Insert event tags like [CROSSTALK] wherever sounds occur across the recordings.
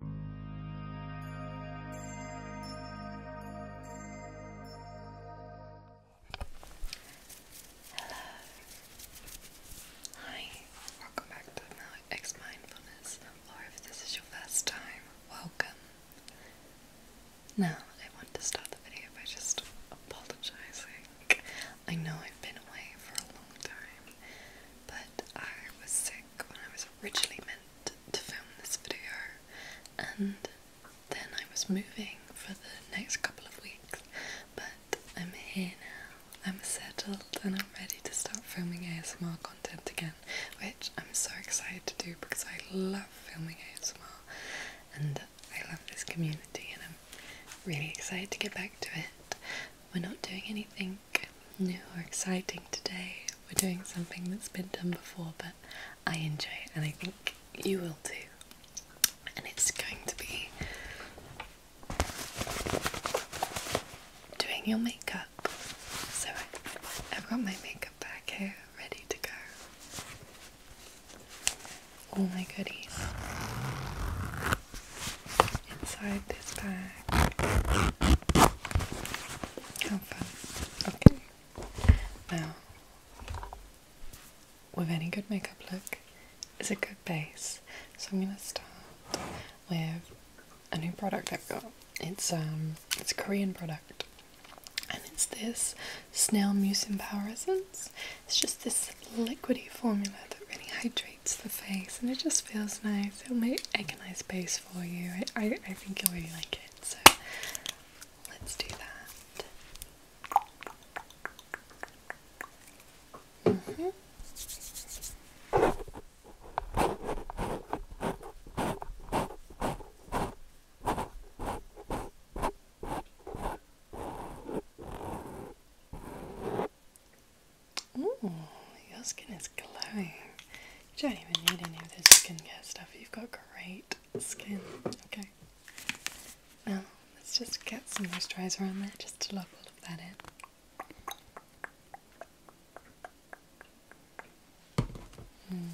Hello. Hi. Welcome back to X Mindfulness. Or if this is your first time, welcome. Now, I want to start the video by just apologizing. I know I've been away for a long time, but I was sick when I was originally meant to film this video, and then I was moving for the next couple of weeks, but I'm here now, I'm settled, and I'm ready to start filming ASMR content again, which I'm so excited to do because I love filming ASMR and I love this community, and I'm really excited to get back to it. We're not doing anything new or exciting today. We're doing something that's been done before, but I enjoy it and I think you will too. And it's going to be doing your makeup. So I've got my makeup bag here ready to go. All my goodies inside this bag. How fun. Okay. Now, with any good makeup look, is a good base. So I'm gonna start with a new product I've got. It's um it's a Korean product. And it's this snail mucin power essence. It's just this liquidy formula that really hydrates lights the face and it just feels nice. It'll make, a nice base for you. I, I, think you'll really like it. So let's do that. Mm -hmm your skin is glowing. You don't even need any of this skincare stuff. You've got great skin. Okay. Now, let's just get some moisturizer on there just to lock all of that in. Hmm.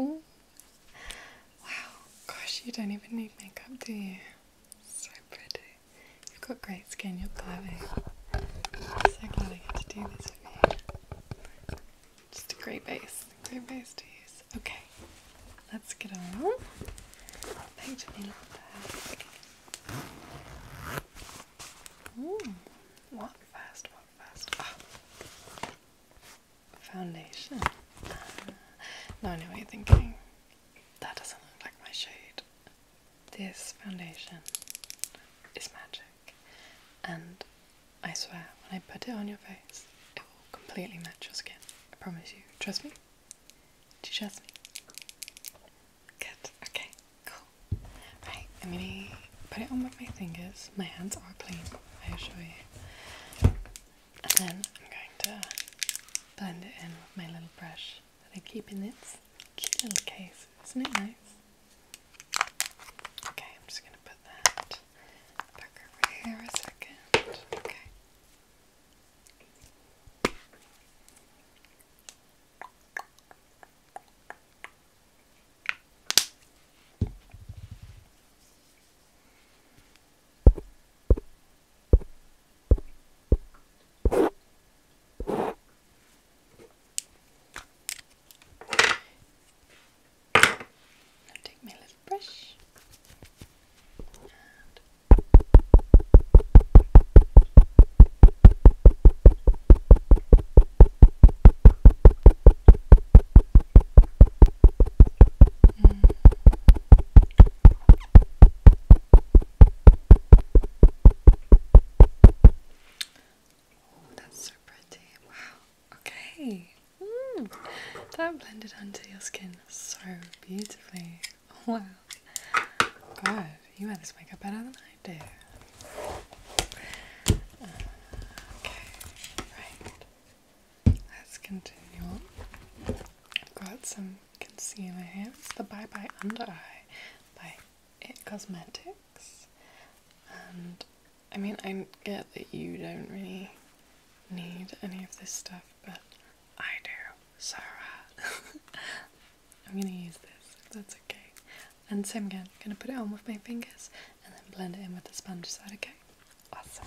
Oh, Wow, gosh, you don't even need makeup, do you? So pretty. You've got great skin, you're glowing. I'm so glad I get to do this with you. Just a great base. great base to use. Okay, let's get on. What fast, walk fast. Ah. Foundation. Ah. No, now I know what you're thinking. That doesn't look like my shade. This foundation is magic. And I swear, when I put it on your face, it will completely match your skin. I promise you. Trust me? Do you trust me? Good. Okay, cool. Right, I'm gonna put it on with my fingers. My hands are clean, I assure you. And then I'm going to blend it in with my little brush that I keep in this cute little case. Isn't it nice? Okay, I'm just gonna put that back over here a second. Okay. Now take my little brush and Oh, that's so pretty. Wow. Okay, mm, that blended under your skin so beautifully. Wow, God, you wear this makeup better than I do. Uh, okay, right, let's continue I've got some concealer here. It's the Bye Bye Under Eye by it cosmetics, and I mean, I get that you don't really need any of this stuff, but I do, so [LAUGHS] I'm gonna use this if that's okay. And same again, gonna put it on with my fingers and then blend it in with the sponge. Is okay? Awesome.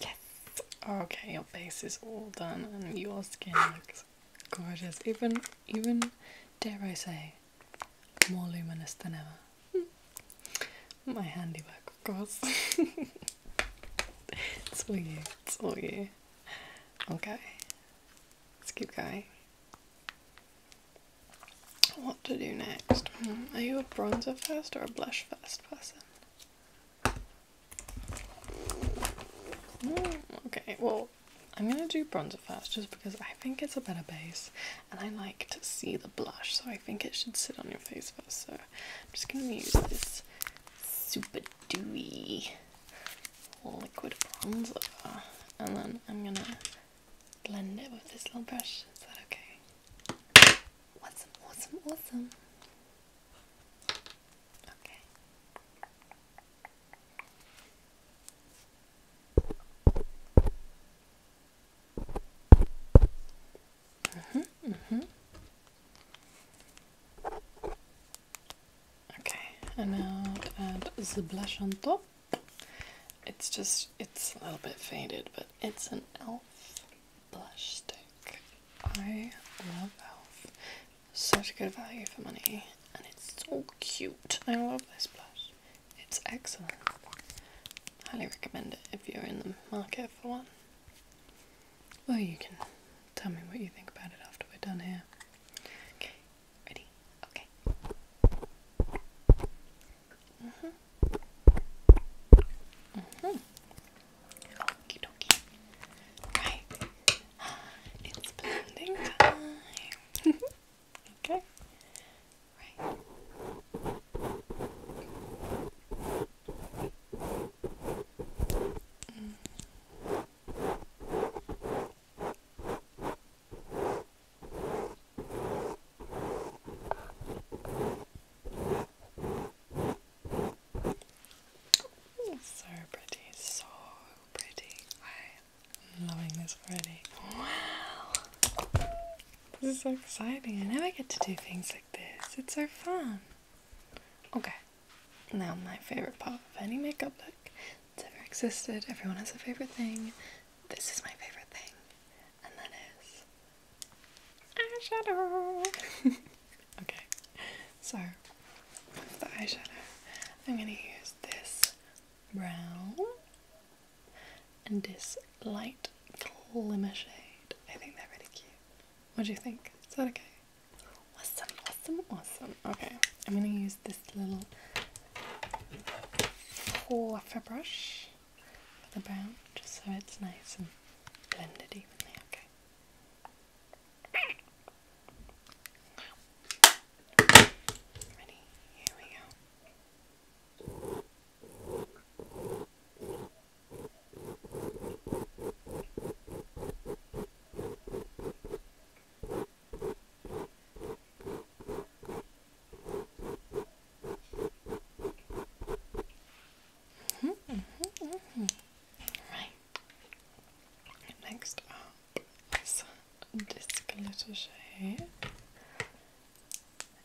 Yes! Okay, your face is all done and your skin looks gorgeous. Even, even, dare I say, more luminous than ever. [LAUGHS] My handiwork, of course. [LAUGHS] it's all you, it's all you. Okay, let's keep going what to do next. Hmm, are you a bronzer first or a blush first person? Hmm, okay, well, I'm gonna do bronzer first just because I think it's a better base and I like to see the blush, so I think it should sit on your face first. So I'm just gonna use this super dewy liquid bronzer and then I'm gonna blend it with this little brush. Is that okay? Awesome, awesome, awesome. Okay. Mhm, mm mhm. Mm okay, and now add the blush on top. It's just, it's a little bit faded, but it's an e.l.f. blush stick. I love e.l.f. Such a good value for money, and it's so cute. I love this blush. It's excellent. Highly recommend it if you're in the market for one. Well, you can tell me what you think about it after we're done here. Okay, Ready? Okay. hmm. hmm. Okie dokie. Right. It's blending time. [LAUGHS] okay. Right. Mm. So pretty, so pretty. I'm loving this already. Wow! This is so exciting. I never get to do things like this. It's so fun. Okay, now my favorite part of any makeup look it's ever existed. Everyone has a favorite thing. This is my favorite thing, and that is eyeshadow. [LAUGHS] okay, so the eyeshadow, I'm gonna use this brown and this light glimmer shade. I think they're really cute. What do you think? Is that okay? Awesome, awesome, awesome. Okay, I'm gonna use this little pour a brush for the brown just so it's nice and blended evenly, okay? Ready? Here we go. Mm -hmm, Right. Next up is this glitter shade.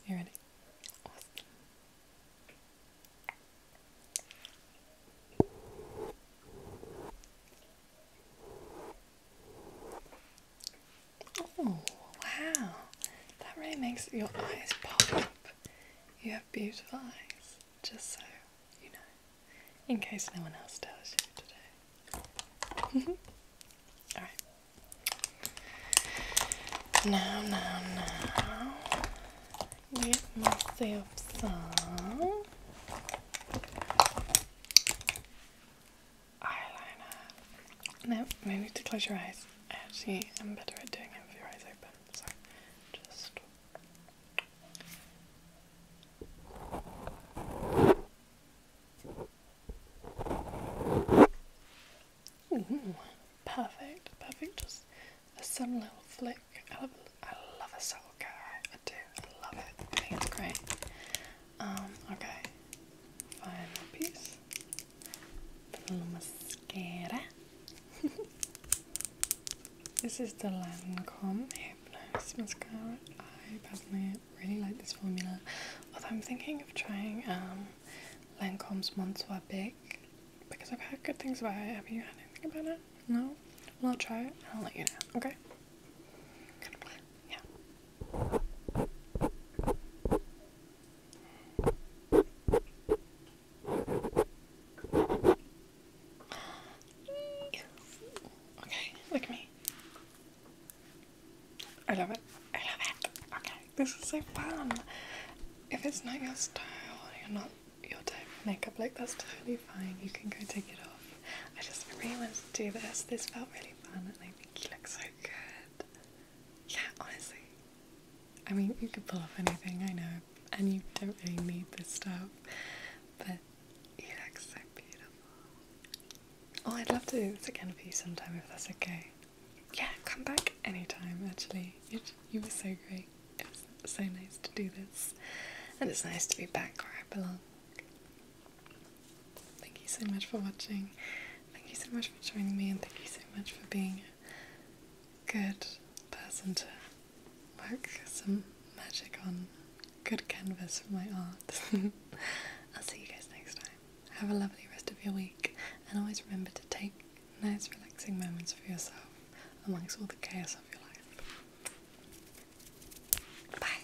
You ready? Oh, wow. That really makes your eyes pop up. You have beautiful eyes, just so you know, in case no one else tells you today. [LAUGHS] Alright. Now, now, now, get myself some. Eyeliner. No, no need to close your eyes. Actually, I am better at doing it with your eyes open, Sorry. just. Ooh, perfect, perfect. Just some little flick I love, I love a soul guy. I do. I love it. I think it's great. Um, okay. Final piece. The little mascara. [LAUGHS] this is the Lancome Hypnose Mascara. I personally really like this formula. Although I'm thinking of trying um, Lancome's Monsoir because I've heard good things about it. Have you heard anything about it? No? I'll try it. I'll let you know, okay? Yeah. Okay, look at me. I love it. I love it. Okay, this is so fun. If it's not your style, you're not your time makeup like that's totally fine. You can go take it off. I just really wanted to do this. This felt really fun and I think you look so good. Yeah, honestly. I mean, you could pull off anything, I know, and you don't really need this stuff, but you look so beautiful. Oh, I'd love to do this again for you sometime if that's okay. Yeah, come back anytime, actually. It, you were so great. It's so nice to do this, and it's nice to be back where I belong. Thank you so much for watching. Thank you so much for joining me, and thank you so much for being a good person to work some magic on. Good canvas for my art. [LAUGHS] I'll see you guys next time. Have a lovely rest of your week, and always remember to take nice relaxing moments for yourself amongst all the chaos of your life. Bye.